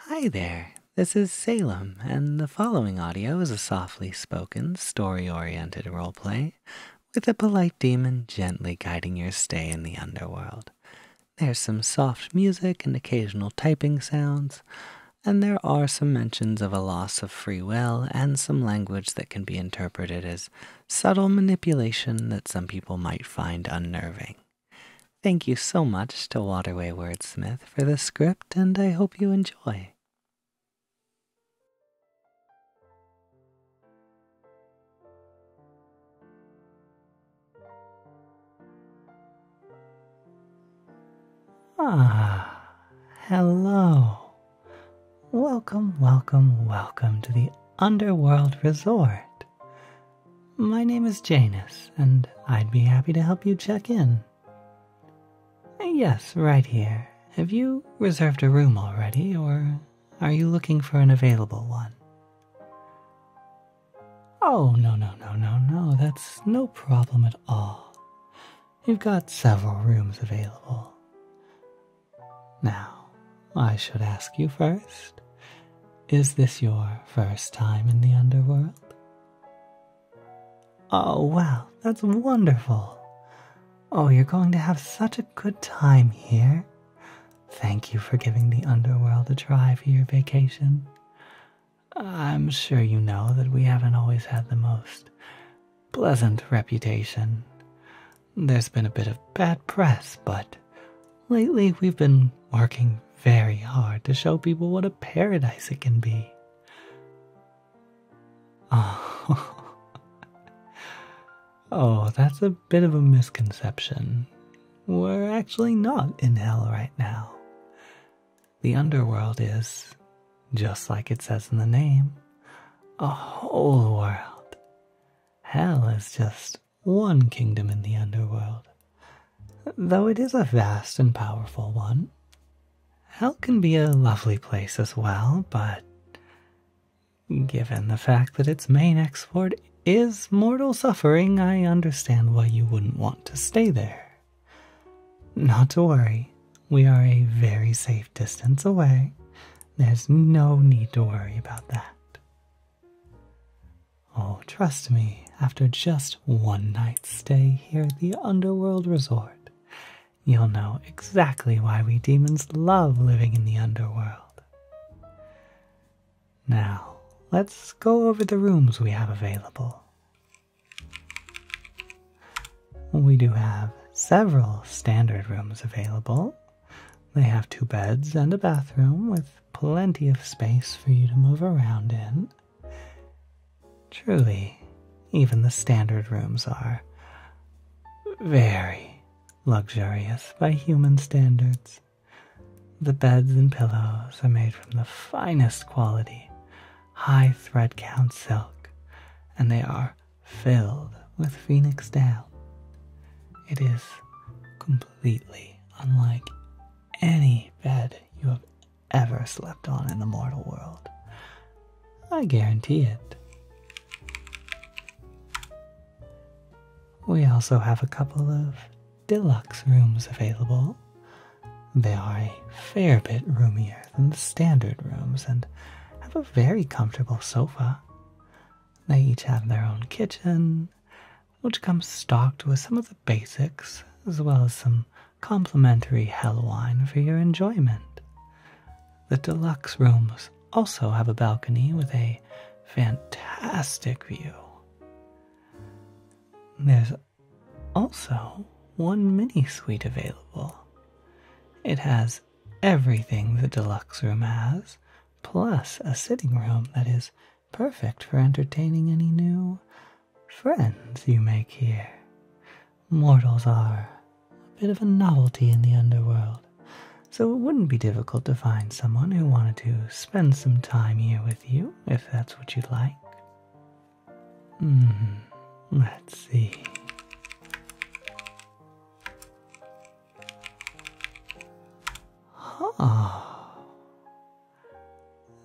Hi there, this is Salem, and the following audio is a softly spoken, story oriented roleplay with a polite demon gently guiding your stay in the underworld. There's some soft music and occasional typing sounds, and there are some mentions of a loss of free will and some language that can be interpreted as subtle manipulation that some people might find unnerving. Thank you so much to Waterway Wordsmith for the script, and I hope you enjoy. Ah, hello. Welcome, welcome, welcome to the Underworld Resort. My name is Janus, and I'd be happy to help you check in. Yes, right here. Have you reserved a room already, or are you looking for an available one? Oh, no, no, no, no, no, that's no problem at all. You've got several rooms available. Now, I should ask you first is this your first time in the underworld? Oh, well, that's wonderful. Oh, you're going to have such a good time here. Thank you for giving the underworld a try for your vacation. I'm sure you know that we haven't always had the most pleasant reputation. There's been a bit of bad press, but Lately, we've been working very hard to show people what a paradise it can be. Oh, oh that's a bit of a misconception. We're actually not in hell right now. The underworld is, just like it says in the name, a whole world. Hell is just one kingdom in the underworld, though it is a vast and powerful one. Hell can be a lovely place as well, but given the fact that its main export is mortal suffering, I understand why you wouldn't want to stay there. Not to worry, we are a very safe distance away. There's no need to worry about that. Oh, trust me, after just one night's stay here at the Underworld Resort, you'll know exactly why we demons love living in the underworld. Now, let's go over the rooms we have available. We do have several standard rooms available. They have two beds and a bathroom with plenty of space for you to move around in. Truly, even the standard rooms are very luxurious by human standards. The beds and pillows are made from the finest quality, high thread count silk, and they are filled with phoenix down. It is completely unlike any bed you have ever slept on in the mortal world. I guarantee it. We also have a couple of deluxe rooms available. They are a fair bit roomier than the standard rooms and have a very comfortable sofa. They each have their own kitchen, which comes stocked with some of the basics as well as some complimentary hell wine for your enjoyment. The deluxe rooms also have a balcony with a fantastic view. There's also one mini suite available. It has everything the deluxe room has, plus a sitting room that is perfect for entertaining any new friends you make here. Mortals are a bit of a novelty in the underworld, so it wouldn't be difficult to find someone who wanted to spend some time here with you, if that's what you'd like. Hmm, let's see. Oh,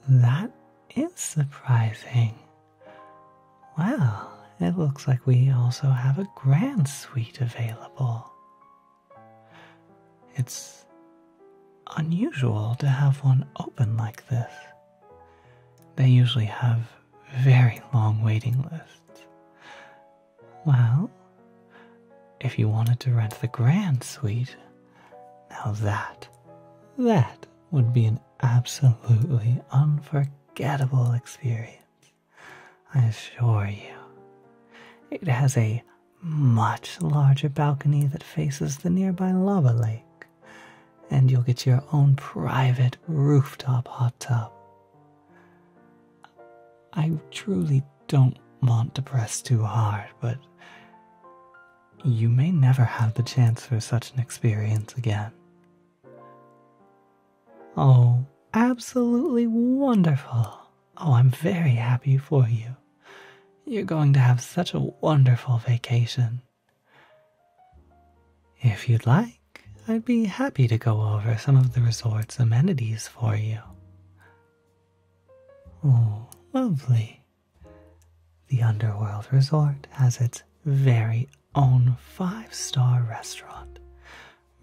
that is surprising. Well, it looks like we also have a grand suite available. It's unusual to have one open like this. They usually have very long waiting lists. Well, if you wanted to rent the grand suite, now that, that would be an absolutely unforgettable experience. I assure you. It has a much larger balcony that faces the nearby lava lake, and you'll get your own private rooftop hot tub. I truly don't want to press too hard, but you may never have the chance for such an experience again. Oh, absolutely wonderful. Oh, I'm very happy for you. You're going to have such a wonderful vacation. If you'd like, I'd be happy to go over some of the resort's amenities for you. Oh, lovely. The Underworld Resort has its very own five star restaurant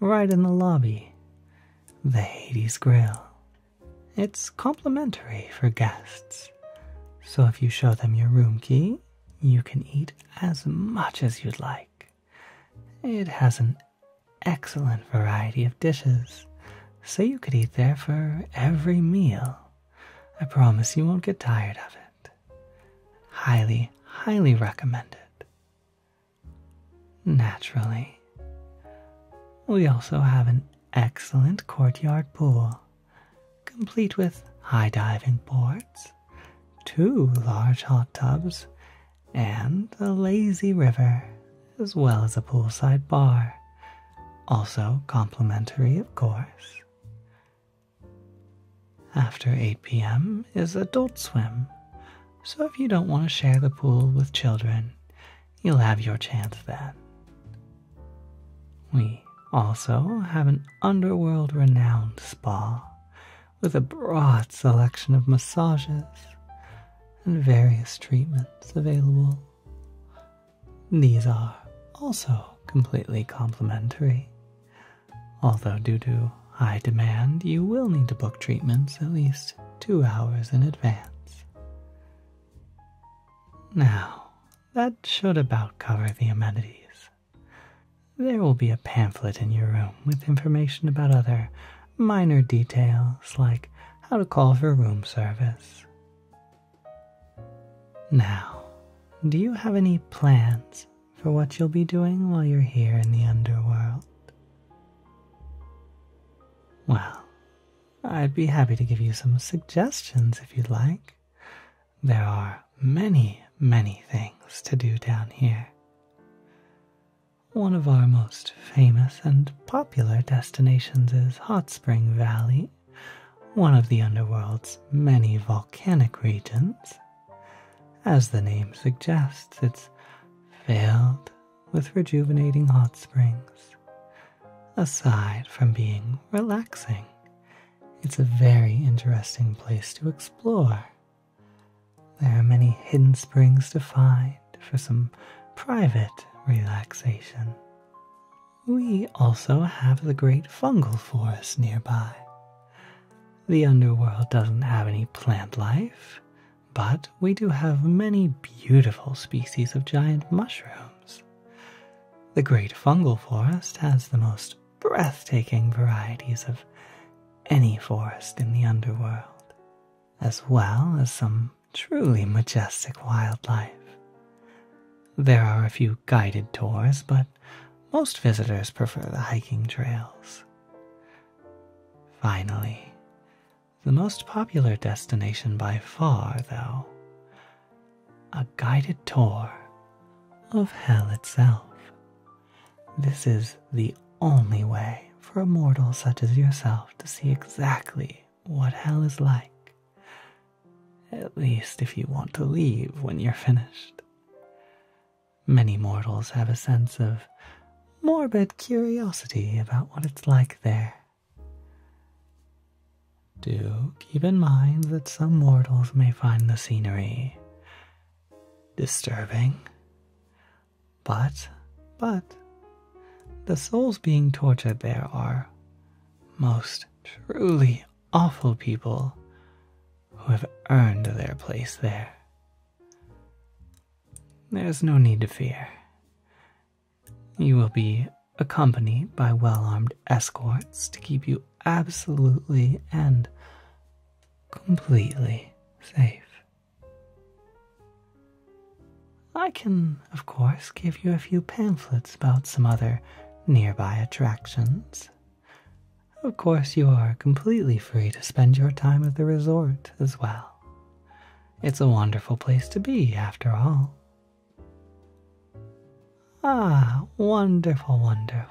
right in the lobby, the Hades Grill. It's complimentary for guests, so if you show them your room key, you can eat as much as you'd like. It has an excellent variety of dishes so you could eat there for every meal. I promise you won't get tired of it. Highly, highly recommended. Naturally. We also have an excellent courtyard pool, complete with high diving boards, two large hot tubs, and a lazy river as well as a poolside bar, also complimentary, of course. After 8 p.m. is adult swim, so if you don't want to share the pool with children, you'll have your chance then. We also have an underworld renowned spa with a broad selection of massages and various treatments available. These are also completely complimentary. Although, due to high demand, you will need to book treatments at least two hours in advance. Now, that should about cover the amenities. There will be a pamphlet in your room with information about other minor details like how to call for room service, now, do you have any plans for what you'll be doing while you're here in the underworld? Well, I'd be happy to give you some suggestions if you'd like. There are many, many things to do down here. One of our most famous and popular destinations is Hot Spring Valley, one of the underworld's many volcanic regions. As the name suggests, it's filled with rejuvenating hot springs. Aside from being relaxing, it's a very interesting place to explore. There are many hidden springs to find for some private relaxation. We also have the great fungal forest nearby. The underworld doesn't have any plant life, but we do have many beautiful species of giant mushrooms. The great fungal forest has the most breathtaking varieties of any forest in the underworld, as well as some truly majestic wildlife. There are a few guided tours, but most visitors prefer the hiking trails. Finally, the most popular destination by far, though, a guided tour of hell itself. This is the only way for a mortal such as yourself to see exactly what hell is like at least if you want to leave when you're finished. Many mortals have a sense of morbid curiosity about what it's like there. Do keep in mind that some mortals may find the scenery disturbing, but, but, the souls being tortured there are most truly awful people who have earned their place there. There's no need to fear. You will be accompanied by well armed escorts to keep you absolutely and completely safe. I can, of course, give you a few pamphlets about some other nearby attractions. Of course, you are completely free to spend your time at the resort as well. It's a wonderful place to be, after all. Ah, wonderful, wonderful.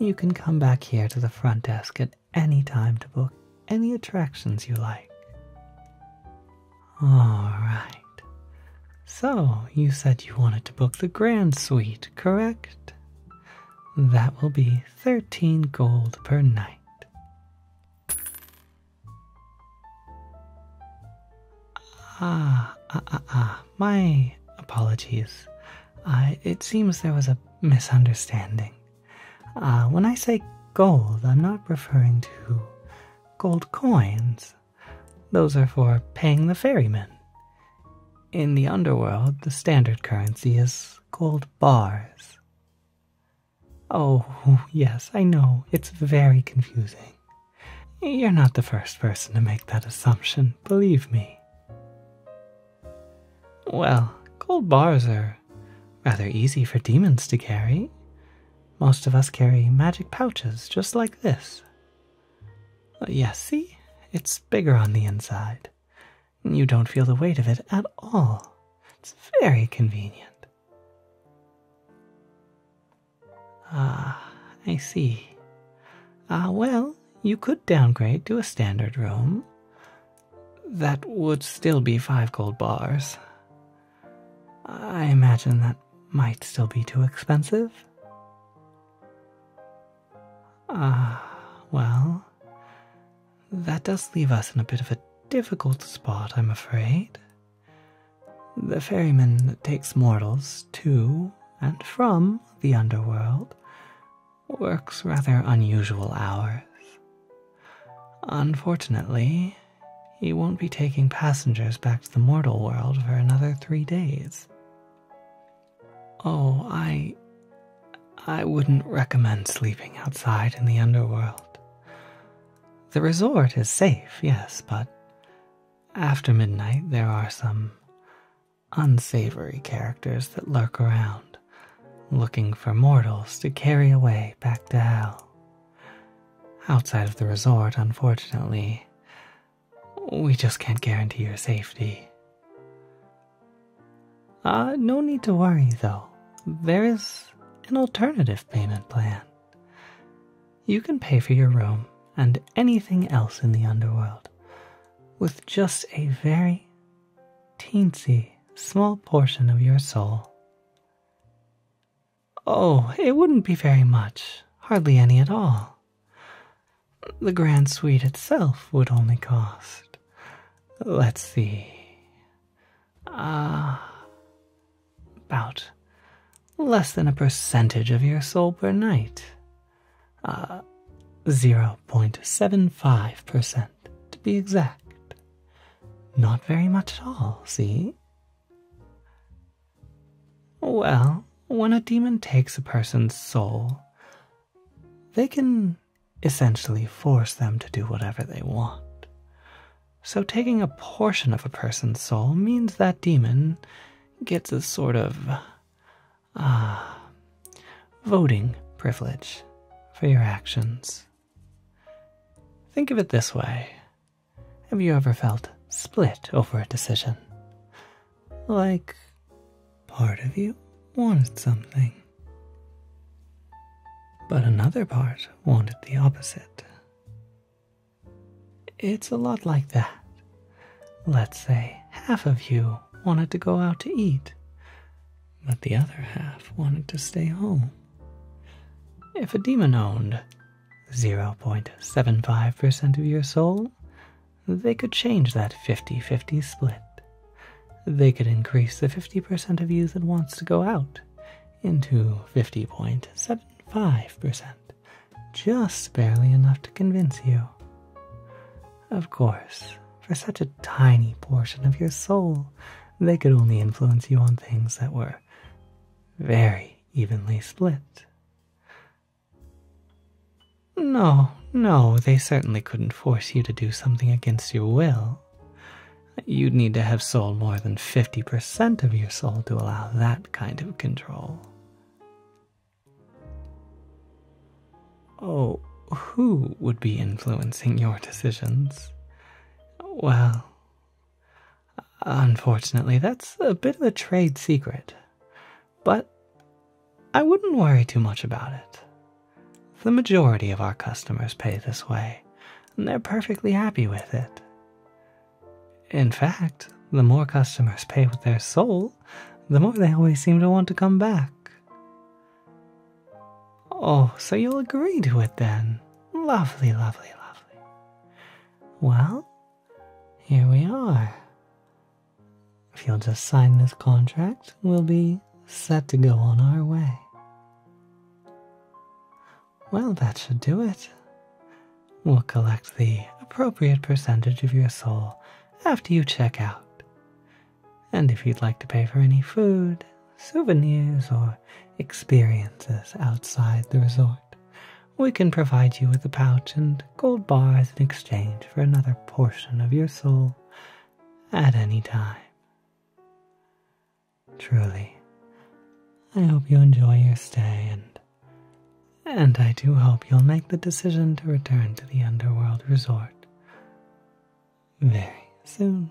You can come back here to the front desk at any time to book any attractions you like. Alright. So, you said you wanted to book the Grand Suite, correct? That will be 13 gold per night. Ah, ah, ah, ah, My apologies. Uh, it seems there was a misunderstanding. Uh, when I say gold, I'm not referring to gold coins. Those are for paying the ferryman. In the underworld, the standard currency is gold bars. Oh, yes, I know, it's very confusing. You're not the first person to make that assumption, believe me. Well, gold bars are rather easy for demons to carry. Most of us carry magic pouches just like this. Uh, yes, see? It's bigger on the inside. You don't feel the weight of it at all. It's very convenient. Ah, I see. Ah, well, you could downgrade to a standard room. That would still be five gold bars. I imagine that might still be too expensive? Ah, well, that does leave us in a bit of a difficult spot, I'm afraid. The ferryman that takes mortals to and from the underworld works rather unusual hours. Unfortunately, he won't be taking passengers back to the mortal world for another three days. Oh, I. I wouldn't recommend sleeping outside in the underworld. The resort is safe, yes, but after midnight there are some unsavory characters that lurk around, looking for mortals to carry away back to hell. Outside of the resort, unfortunately, we just can't guarantee your safety. Uh, no need to worry though. There is an alternative payment plan. You can pay for your room and anything else in the underworld with just a very teensy small portion of your soul. Oh, it wouldn't be very much, hardly any at all. The grand suite itself would only cost. Let's see. Ah, about less than a percentage of your soul per night. ah, uh, 0.75% to be exact. Not very much at all, see? Well, when a demon takes a person's soul, they can essentially force them to do whatever they want. So, taking a portion of a person's soul means that demon gets a sort of uh, voting privilege for your actions. Think of it this way have you ever felt split over a decision? Like part of you wanted something, but another part wanted the opposite. It's a lot like that. Let's say half of you wanted to go out to eat, but the other half wanted to stay home. If a demon owned, 0.75% of your soul, they could change that 50 50 split. They could increase the 50% of you that wants to go out into 50.75%, just barely enough to convince you. Of course, for such a tiny portion of your soul, they could only influence you on things that were very evenly split. No, no, they certainly couldn't force you to do something against your will. You'd need to have sold more than 50% of your soul to allow that kind of control. Oh, who would be influencing your decisions? Well, Unfortunately, that's a bit of a trade secret. But I wouldn't worry too much about it. The majority of our customers pay this way, and they're perfectly happy with it. In fact, the more customers pay with their soul, the more they always seem to want to come back. Oh, so you'll agree to it then. Lovely, lovely, lovely. Well, here we are. If you'll just sign this contract, we'll be set to go on our way. Well, that should do it. We'll collect the appropriate percentage of your soul after you check out. And if you'd like to pay for any food, souvenirs, or experiences outside the resort, we can provide you with a pouch and gold bars in exchange for another portion of your soul at any time. Truly, I hope you enjoy your stay and and I do hope you'll make the decision to return to the Underworld Resort very soon.